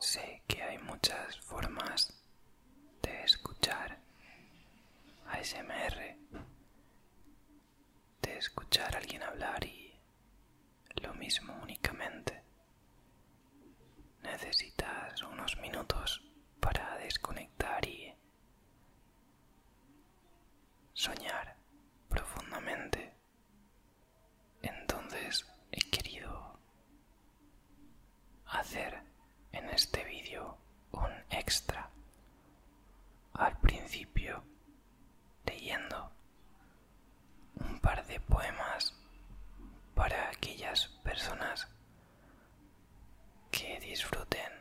Sé que hay muchas formas de escuchar a ASMR, de escuchar a alguien hablar y lo mismo únicamente. Necesitas unos minutos para desconectar y soñar profundamente entonces he querido hacer en este vídeo un extra al principio leyendo un par de poemas para aquellas personas que disfruten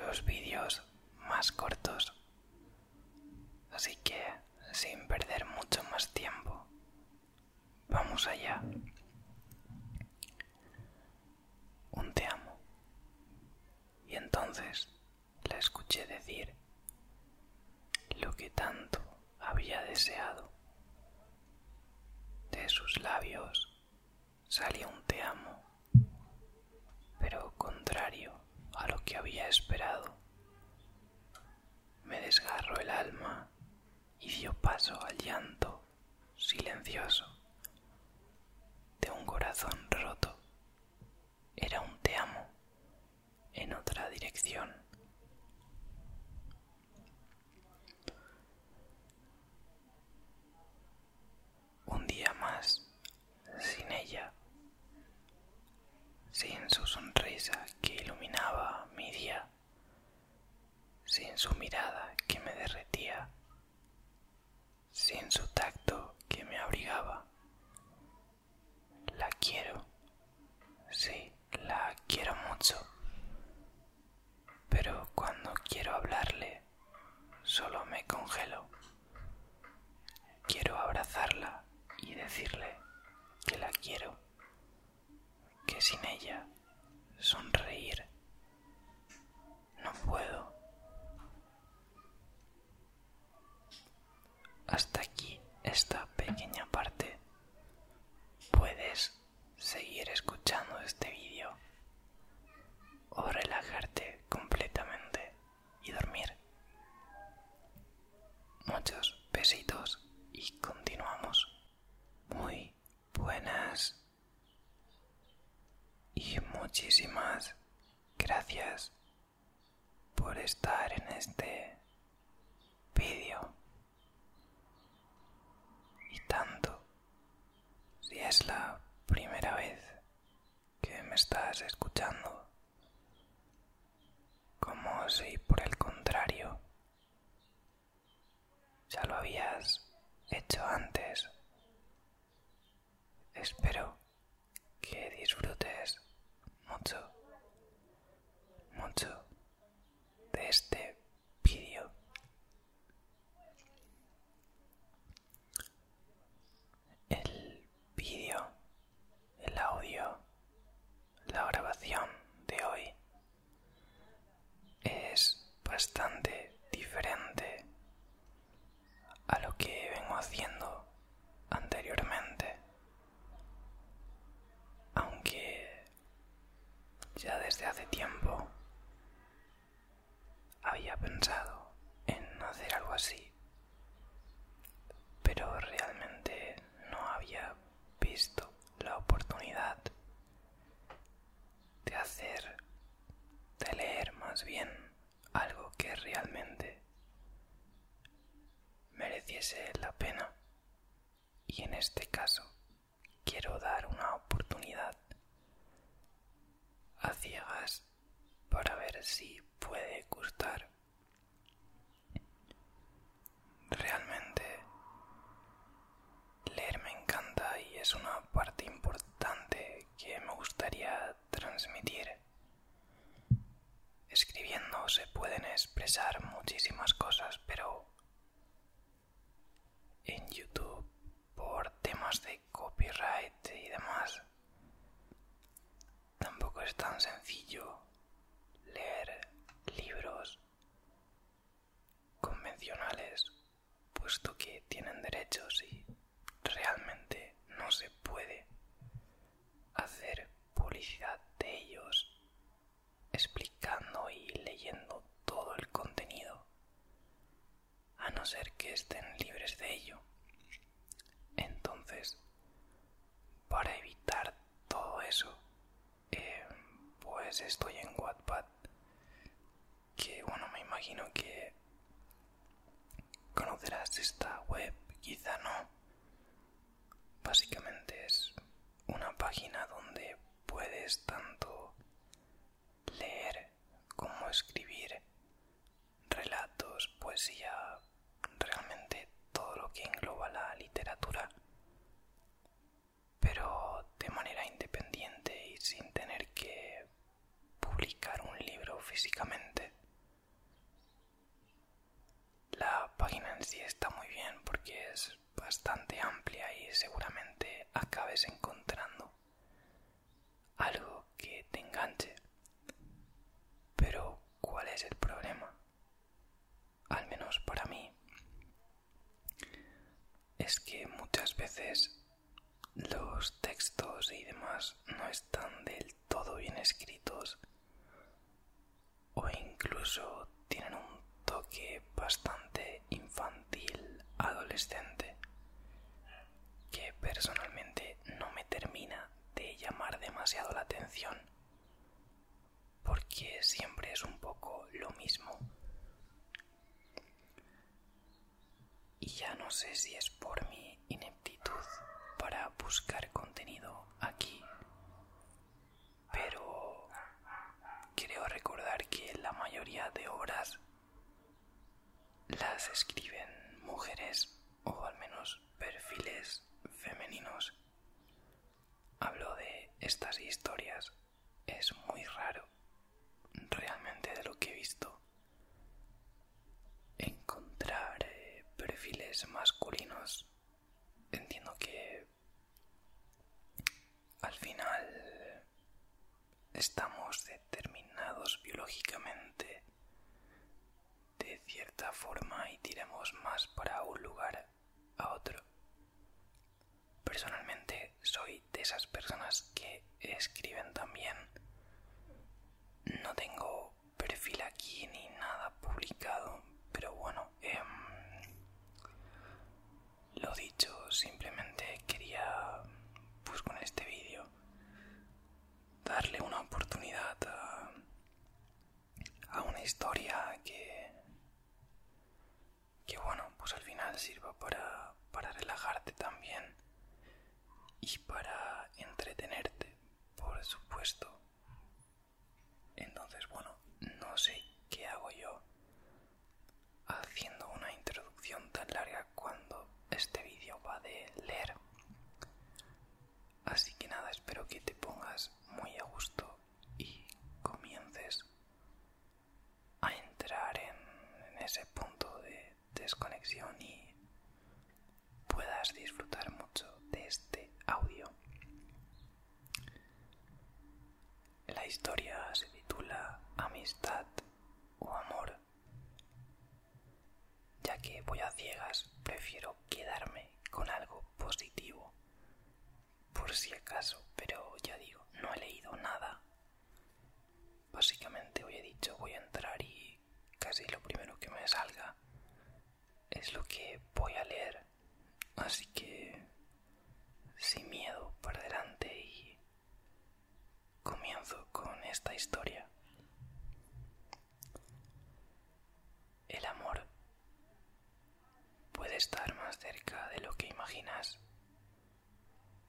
los vídeos más cortos. Así que, sin perder mucho más tiempo, Vamos allá. Un te amo. Y entonces la escuché decir lo que tanto había deseado. De sus labios salió un te amo, pero contrario a lo que había esperado me desgarró el alma y dio paso al llanto silencioso de un corazón roto. Era un te amo en otra dirección. Un día más sin ella sin su sonrisa que iluminaba mi día, sin su mirada que me derretía, sin su tacto que me abrigaba. La quiero, sí, la quiero mucho, pero cuando quiero hablarle, solo me congelo. Quiero abrazarla y decirle que la quiero que sin ella sonreír no puedo. Hasta aquí esta pequeña parte. Puedes seguir escuchando este vídeo o relajarte completamente y dormir. Muchos besitos y continuamos. Muy buenas y muchísimas gracias por estar en este vídeo y tanto si es la primera vez que me estás escuchando como si por el contrario ya lo habías hecho antes. Espero que disfrutes mucho, mucho de este vídeo. El vídeo el audio, la grabación de hoy es bastante diferente a lo que vengo haciendo anteriormente. Aunque ya desde hace tiempo había pensado en hacer algo así, pero realmente no había visto la oportunidad de hacer, de leer más bien algo que realmente mereciese la pena. Y en este caso quiero dar una oportunidad a ciegas para ver si puede gustar Realmente leer me encanta y es una parte importante que me gustaría transmitir. Escribiendo se pueden expresar muchísimas cosas, pero en YouTube por temas de copyright y demás tampoco es tan sencillo leer libros convencionales, puesto que tienen derechos y realmente no se puede hacer publicidad de ellos explicando y leyendo todo el contenido, a no ser que estén libres de ello. Entonces, para evitar todo eso, eh, pues estoy en Wattpad que bueno me imagino que conocerás esta web quizá no básicamente es una página donde puedes tanto leer como escribir relatos poesía realmente todo lo que engloba la literatura pero de manera independiente y sin tener que publicar un libro físicamente. La página en sí está muy bien porque es bastante amplia y seguramente acabes encontrando algo que te enganche. Pero ¿cuál es el problema? al menos para mí, es que muchas veces los textos y demás no están del todo bien escritos o incluso tienen un toque bastante infantil, adolescente, que personalmente no me termina de llamar demasiado la atención porque siempre es un poco lo mismo. Y ya no sé si es por mi ineptitud para buscar contenido aquí, pero creo recordar que la mayoría de obras las escriben mujeres o al menos perfiles femeninos hablo de estas historias es muy raro realmente de lo que he visto encontrar eh, perfiles masculinos entiendo que al final estamos determinados biológicamente de cierta forma y tiremos más para un lugar a otro. Personalmente soy de esas personas que escriben también. No tengo perfil aquí ni nada publicado, pero bueno, em, lo dicho, simplemente quería, pues con este vídeo, darle una oportunidad a una historia que, que bueno, pues al final sirva para, para relajarte también y para entretenerte, por supuesto. Entonces, bueno, no sé qué hago yo haciendo una introducción tan larga cuando este vídeo va de leer. Así que nada, espero que te pongas muy a gusto y comiences a entrar en, ese punto de desconexión y puedas disfrutar mucho de este audio. La historia se titula Amistad o Amor, ya que voy a ciegas, prefiero quedarme con algo positivo por si acaso, pero ya digo, no he leído nada. Básicamente hoy he dicho voy a entrar y casi lo primero que me salga es lo que voy a leer. Así que sin miedo para delante y comienzo con esta historia. El amor puede estar más cerca de lo que imaginas.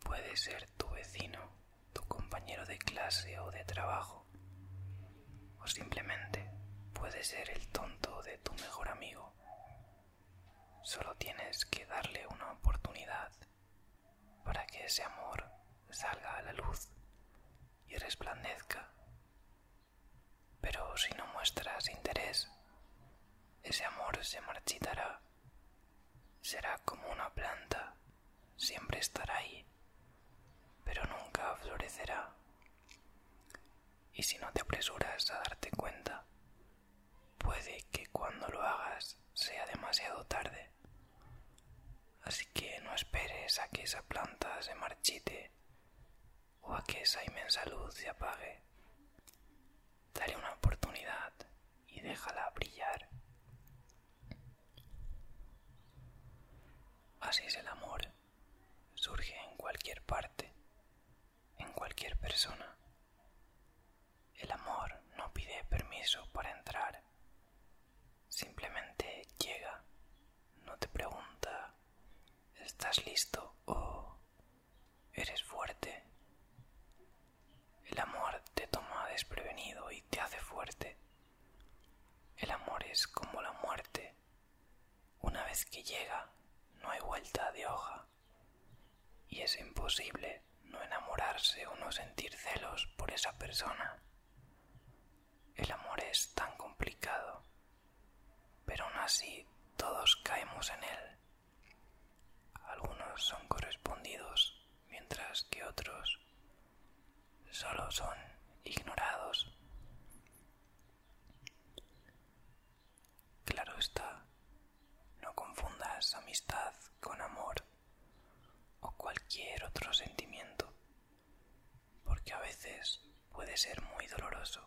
Puede ser tu vecino, tu compañero de clase o de trabajo, o simplemente puede ser el tonto de tu mejor amigo. Solo tienes que darle una oportunidad para que ese amor salga a la luz y resplandezca pero si no muestras interés, ese amor se marchitará. Será como una planta, siempre estará ahí, pero nunca florecerá. Y si no te apresuras a darte cuenta, puede que cuando lo hagas sea demasiado tarde. Así que no esperes a que esa planta se marchite o a que esa inmensa luz se apague. Dale una oportunidad y déjala brillar. Así es el amor. Surge en cualquier parte, en cualquier persona. El amor no pide permiso para entrar. Simplemente llega. No te pregunta, ¿estás listo? o Eres fuerte. El amor te toma desprevenido y te hace fuerte. El amor es como la muerte. Una vez que llega, no hay vuelta de hoja. Y es imposible no enamorarse o no sentir celos por esa persona. El amor es tan complicado pero aún así todos caemos en él. Algunos son correspondidos, mientras que otros solo son ignorados. Claro está, no confundas amistad con amor o cualquier otro sentimiento, porque a veces puede ser muy doloroso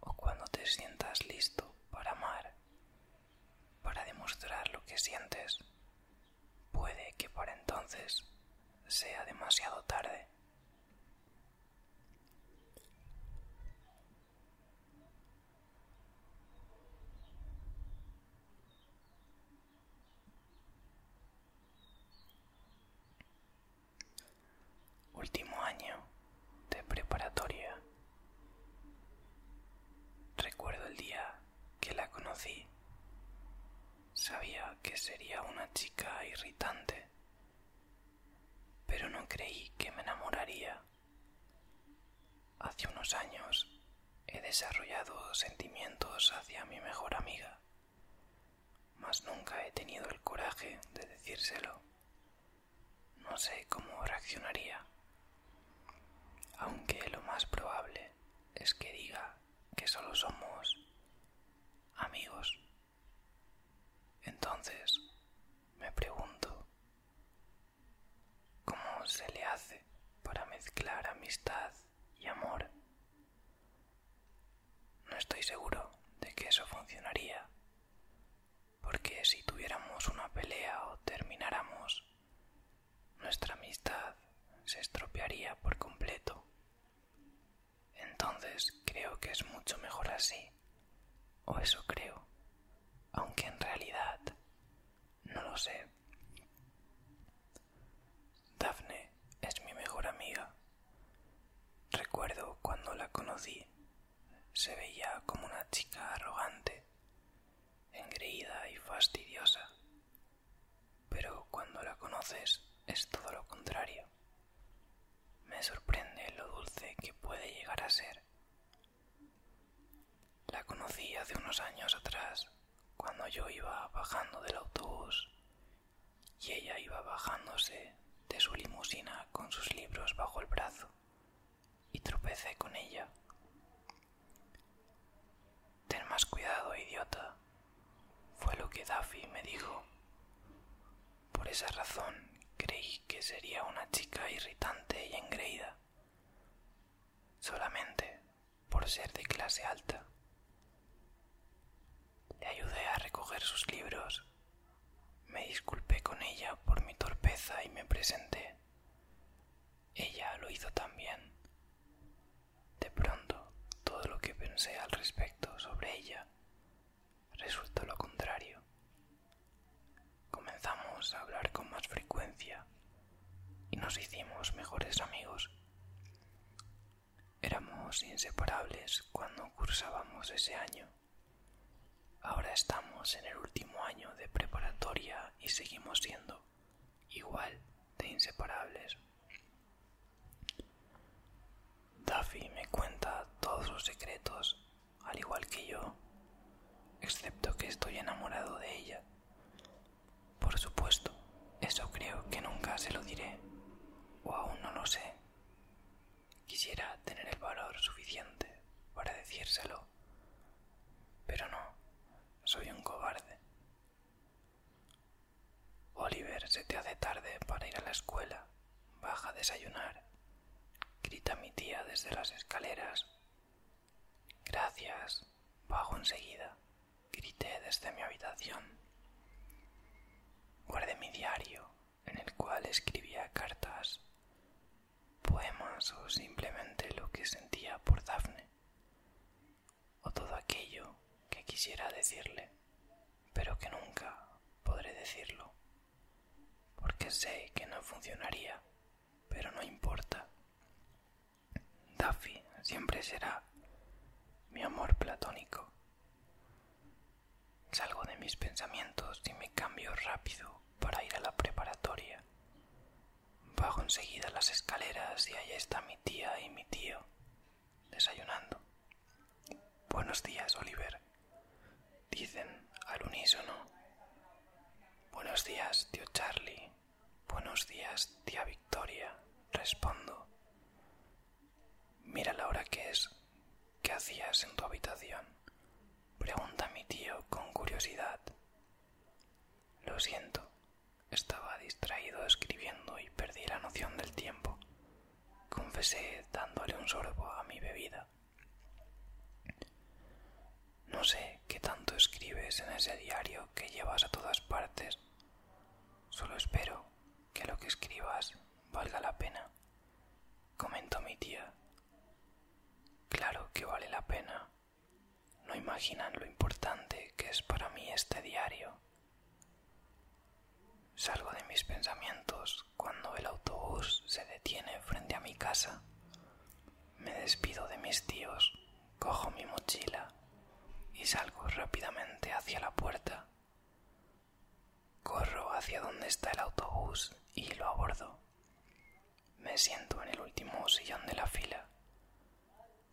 o cuando te sientas listo para amar, para demostrar lo que sientes, puede que por entonces sea demasiado tarde. Último año de preparatoria. Recuerdo el día que la conocí. Sabía que sería una chica irritante, pero no creí que me enamoraría. Hace unos años he desarrollado sentimientos hacia mi mejor amiga, mas nunca he tenido el coraje de decírselo. No sé cómo reaccionaría, aunque lo más probable es que diga que solo somos amigos. Entonces, me pregunto, ¿cómo se le hace para mezclar amistad y amor? No estoy seguro de que eso funcionaría, porque si tuviéramos una pelea o termináramos, nuestra amistad se estropearía por completo. Entonces creo que es mucho mejor así, o eso creo, aunque en realidad no lo sé. Daphne es mi mejor amiga. Recuerdo cuando la conocí se veía como una chica arrogante, engreída y fastidiosa. Pero cuando la conoces es todo lo contrario. Me sorprende lo dulce que puede llegar a ser. La conocí hace unos años atrás, cuando yo iba bajando del autobús y ella iba bajándose de su limusina con sus libros bajo el brazo y tropecé con ella. Ten más cuidado, idiota, fue lo que Daffy me dijo. Por esa razón creí que sería una chica irritante y engreída, solamente por ser de clase alta. Le ayudé a recoger sus libros me disculpé con ella por mi torpeza y me presenté. Ella lo hizo también. De pronto, todo lo que pensé al respecto sobre ella resultó lo contrario. Comenzamos a hablar con más frecuencia y nos hicimos mejores amigos. Éramos inseparables cuando cursábamos ese año. Ahora estamos en el último año de preparatoria y seguimos siendo igual de inseparables. Daffy me cuenta todos sus secretos, al igual que yo, excepto que estoy enamorado de ella. Por supuesto, eso creo que nunca se lo diré, o aún no lo sé. Quisiera tener el valor suficiente para decírselo. Pero no, soy un cobarde. Oliver, se te hace tarde para ir a la escuela. Baja a desayunar. Grita mi tía desde las escaleras. Gracias. Bajo enseguida. Grité desde mi habitación. Guardé mi diario en el cual escribía cartas, poemas o simplemente lo que sentía por Dafne, o todo aquello que quisiera decirle, pero que nunca podré decirlo, porque sé que no funcionaría, pero no importa. Daffy siempre será mi amor platónico. Salgo de mis pensamientos y me cambio rápido para ir a la preparatoria. Bajo enseguida las escaleras y allá está mi tía y mi tío, desayunando. Buenos días, Oliver, dicen al unísono. Buenos días, tío Charlie. Buenos días, tía Victoria, respondo. Mira la hora que es, ¿Qué hacías en tu habitación? pregunta mi tío con curiosidad. Lo siento, estaba distraído escribiendo y perdí la noción del tiempo, confesé dándole un sorbo a mi bebida. No sé qué tanto escribes en ese diario que llevas a todas partes. Solo espero que lo que escribas valga la pena comentó mi tía. Claro que vale la pena. No imaginan lo importante que es para mí este diario. Salgo de mis pensamientos cuando el autobús se detiene frente a mi casa. Me despido de mis tíos, cojo mi mochila y salgo rápidamente hacia la puerta. Corro hacia donde está el autobús y lo abordo. Me siento en el último sillón de la fila.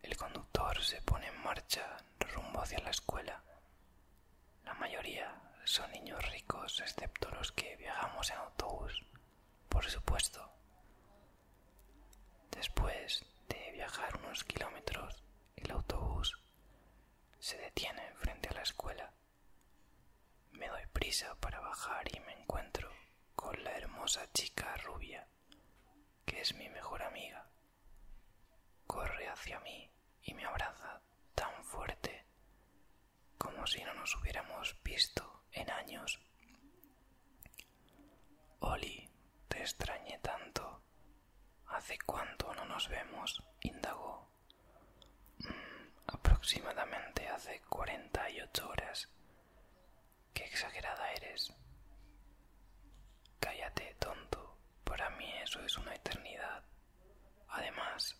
El conductor se pone en marcha rumbo hacia la escuela. La mayoría son niños ricos, excepto los que viajamos en autobús, por supuesto. Después de viajar unos kilómetros, el autobús se detiene frente a la escuela. Me doy prisa para bajar y me encuentro con la hermosa chica rubia, que es mi mejor amiga. Corre hacia mí y me abraza tan fuerte como si no nos hubiéramos visto en años. Oli, te extrañé tanto. ¿Hace cuánto no nos vemos? indagó. Aproximadamente hace 48 horas. Qué exagerada eres. Cállate, tonto. Para mí eso es una eternidad. Además,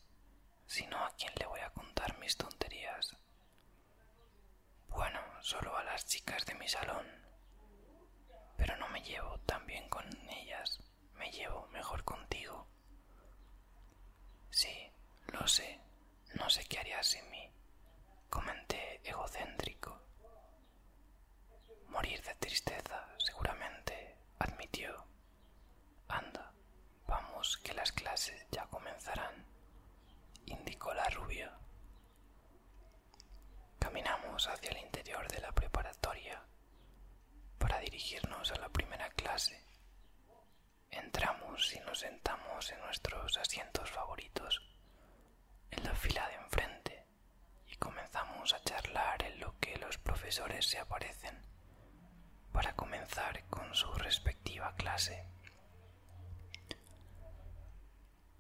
si no, ¿a quién le voy a contar mis tonterías? Bueno, solo a las chicas de mi salón. Pero no me llevo tan bien con ellas. Me llevo mejor contigo. Sí, lo sé. No sé qué haría sin mí, comenté egocéntrico. Morir de tristeza, seguramente, admitió. Anda, vamos, que las clases ya comenzarán, indicó la rubia. Caminamos hacia el interior de la preparatoria para dirigirnos a la primera clase. Entramos y nos sentamos en nuestros asientos favoritos, en la fila de enfrente, y comenzamos a charlar en lo que los profesores se aparecen, para comenzar con su respectiva clase.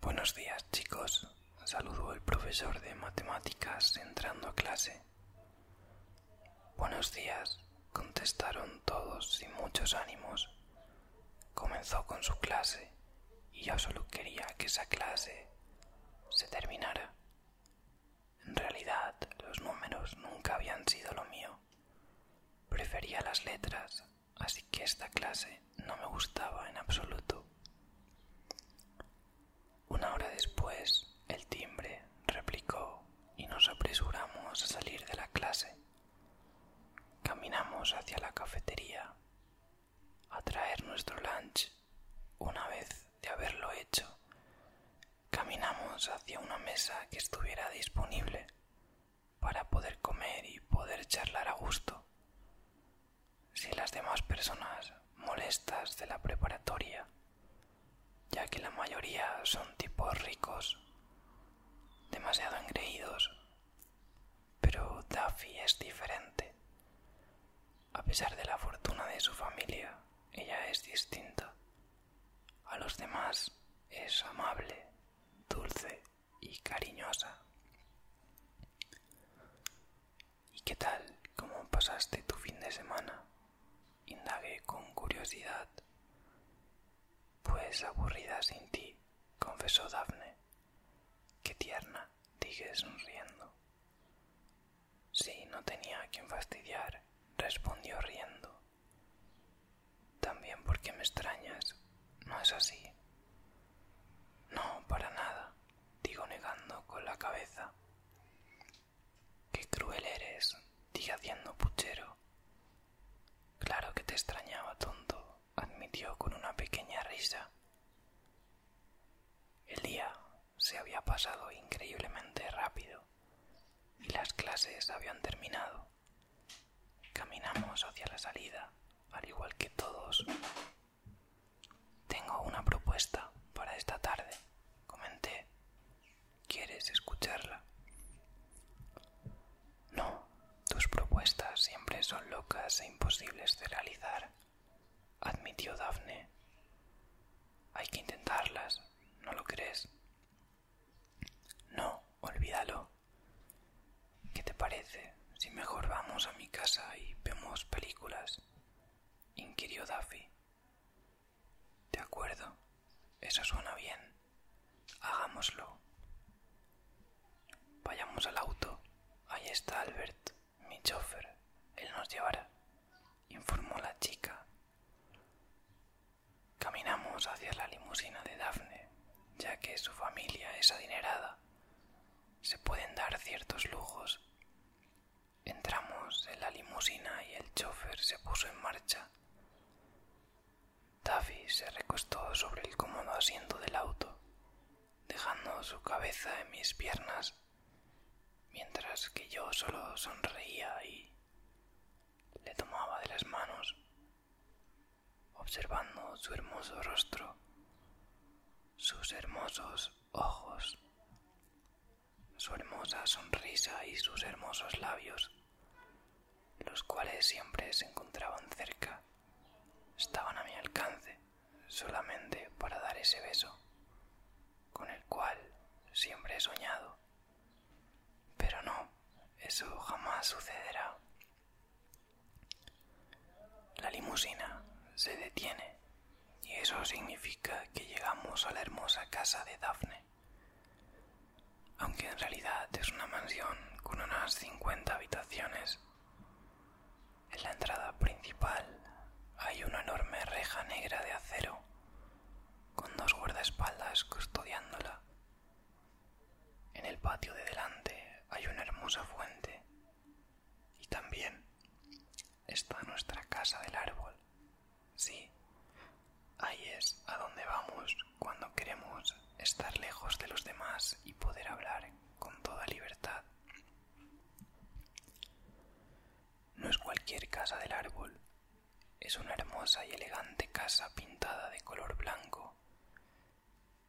Buenos días chicos, saludó el profesor de matemáticas entrando a clase. Buenos días, contestaron todos sin muchos ánimos. Comenzó con su clase y yo solo quería que esa clase se terminara. En realidad, los números nunca habían sido lo mío. Prefería las letras, así que esta clase no me gustaba en absoluto. Una hora después, el timbre replicó y nos apresuramos a salir de la clase. Caminamos hacia la cafetería a traer nuestro lunch. Una vez de haberlo hecho, caminamos hacia una mesa que estuviera disponible para poder comer y poder charlar a gusto. Si las demás personas molestas de la preparatoria ya que la mayoría son tipos ricos, demasiado engreídos, pero Daffy es diferente. A pesar de la fortuna de su familia, ella es distinta. A los demás es amable, dulce y cariñosa. ¿Y qué tal? ¿Cómo pasaste tu fin de semana? indagué con curiosidad. Pues aburrida sin ti, confesó Dafne. Qué tierna, dije sonriendo. Sí, no tenía a quien fastidiar, respondió riendo. También porque me extrañas, ¿no es así? No, para nada, digo negando con la cabeza. Qué cruel eres, dije haciendo puchero. Claro que te extrañaba, tonto, admitió con una pequeña risa. El día se había pasado increíblemente rápido y las clases habían terminado. Caminamos hacia la salida, al igual que todos. Tengo una propuesta para esta tarde, comenté, ¿Quieres escucharla? No, tus propuestas siempre son locas e imposibles de realizar, admitió Daphne. Hay que intentarlas, ¿no lo crees? No, olvídalo. ¿Qué te parece si mejor vamos a mi casa y vemos películas? inquirió Daffy. De acuerdo, eso suena bien. Hagámoslo. Vayamos al auto. Ahí está Albert, mi chofer. Él nos llevará, informó la chica. Caminamos hacia la limusina de Daphne, ya que su familia es adinerada. Se pueden dar ciertos lujos. Entramos en la limusina y el chofer se puso en marcha se recostó sobre el cómodo asiento del auto, dejando su cabeza en mis piernas, mientras que yo solo sonreía y le tomaba de las manos, observando su hermoso rostro, sus hermosos ojos, su hermosa sonrisa y sus hermosos labios los cuales siempre se encontraban cerca, estaban a mi alcance solamente para dar ese beso, con el cual siempre he soñado. Pero no, eso jamás sucederá. La limusina se detiene y eso significa que llegamos a la hermosa casa de Dafne aunque en realidad es una mansión con unas 50 habitaciones. En la entrada principal hay una enorme reja negra de acero, con dos guardaespaldas custodiándola. En el patio de delante hay una hermosa fuente y también está nuestra casa del árbol, Sí, ahí es a donde vamos cuando queremos estar lejos de los demás y poder hablar con toda libertad. No es cualquier casa del árbol, es una hermosa y elegante casa pintada de color blanco,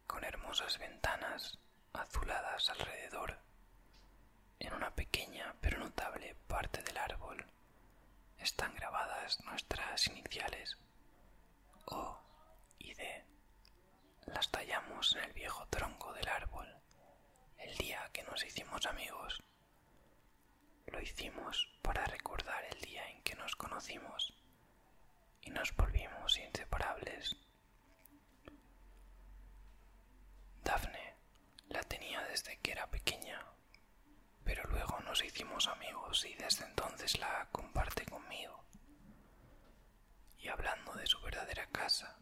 con hermosas ventanas azuladas alrededor. En una pequeña pero notable parte del árbol están grabadas nuestras iniciales O y D. Las tallamos en el viejo tronco del árbol el día que nos hicimos amigos. Lo hicimos para recordar el día en que nos conocimos y nos volvimos inseparables. Daphne la tenía desde que era pequeña pero luego nos hicimos amigos y desde entonces la comparte conmigo. Y hablando de su verdadera casa,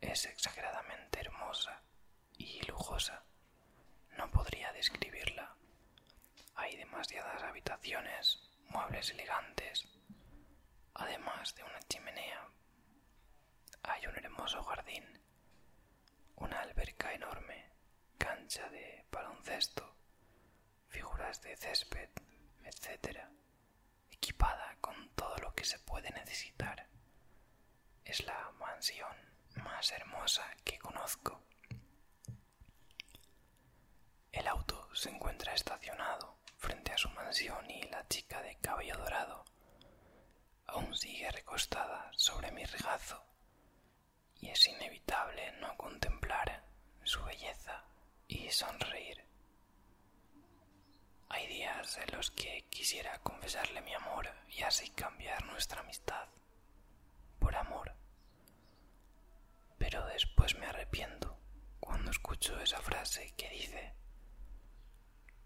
es exageradamente hermosa y lujosa. No podría describirla. Hay demasiadas habitaciones, muebles elegantes, además de una chimenea. Hay un hermoso jardín una alberca enorme, cancha de baloncesto, figuras de césped, etc., equipada con todo lo que se puede necesitar. Es la mansión más hermosa que conozco. El auto se encuentra estacionado frente a su mansión y la chica de cabello dorado aún sigue recostada sobre mi regazo y es inevitable no contemplar su belleza y sonreír. Hay días en los que quisiera confesarle mi amor y así cambiar nuestra amistad por amor, pero después me arrepiento cuando escucho esa frase que dice,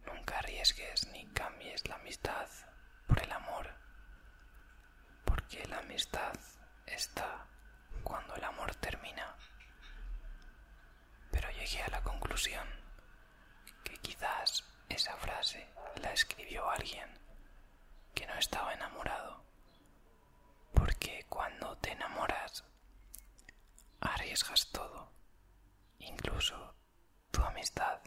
nunca arriesgues ni cambies la amistad por el amor porque la amistad está cuando el amor termina. Pero llegué a la conclusión que quizás esa frase la escribió alguien que no estaba enamorado, porque cuando te enamoras arriesgas todo, incluso tu amistad.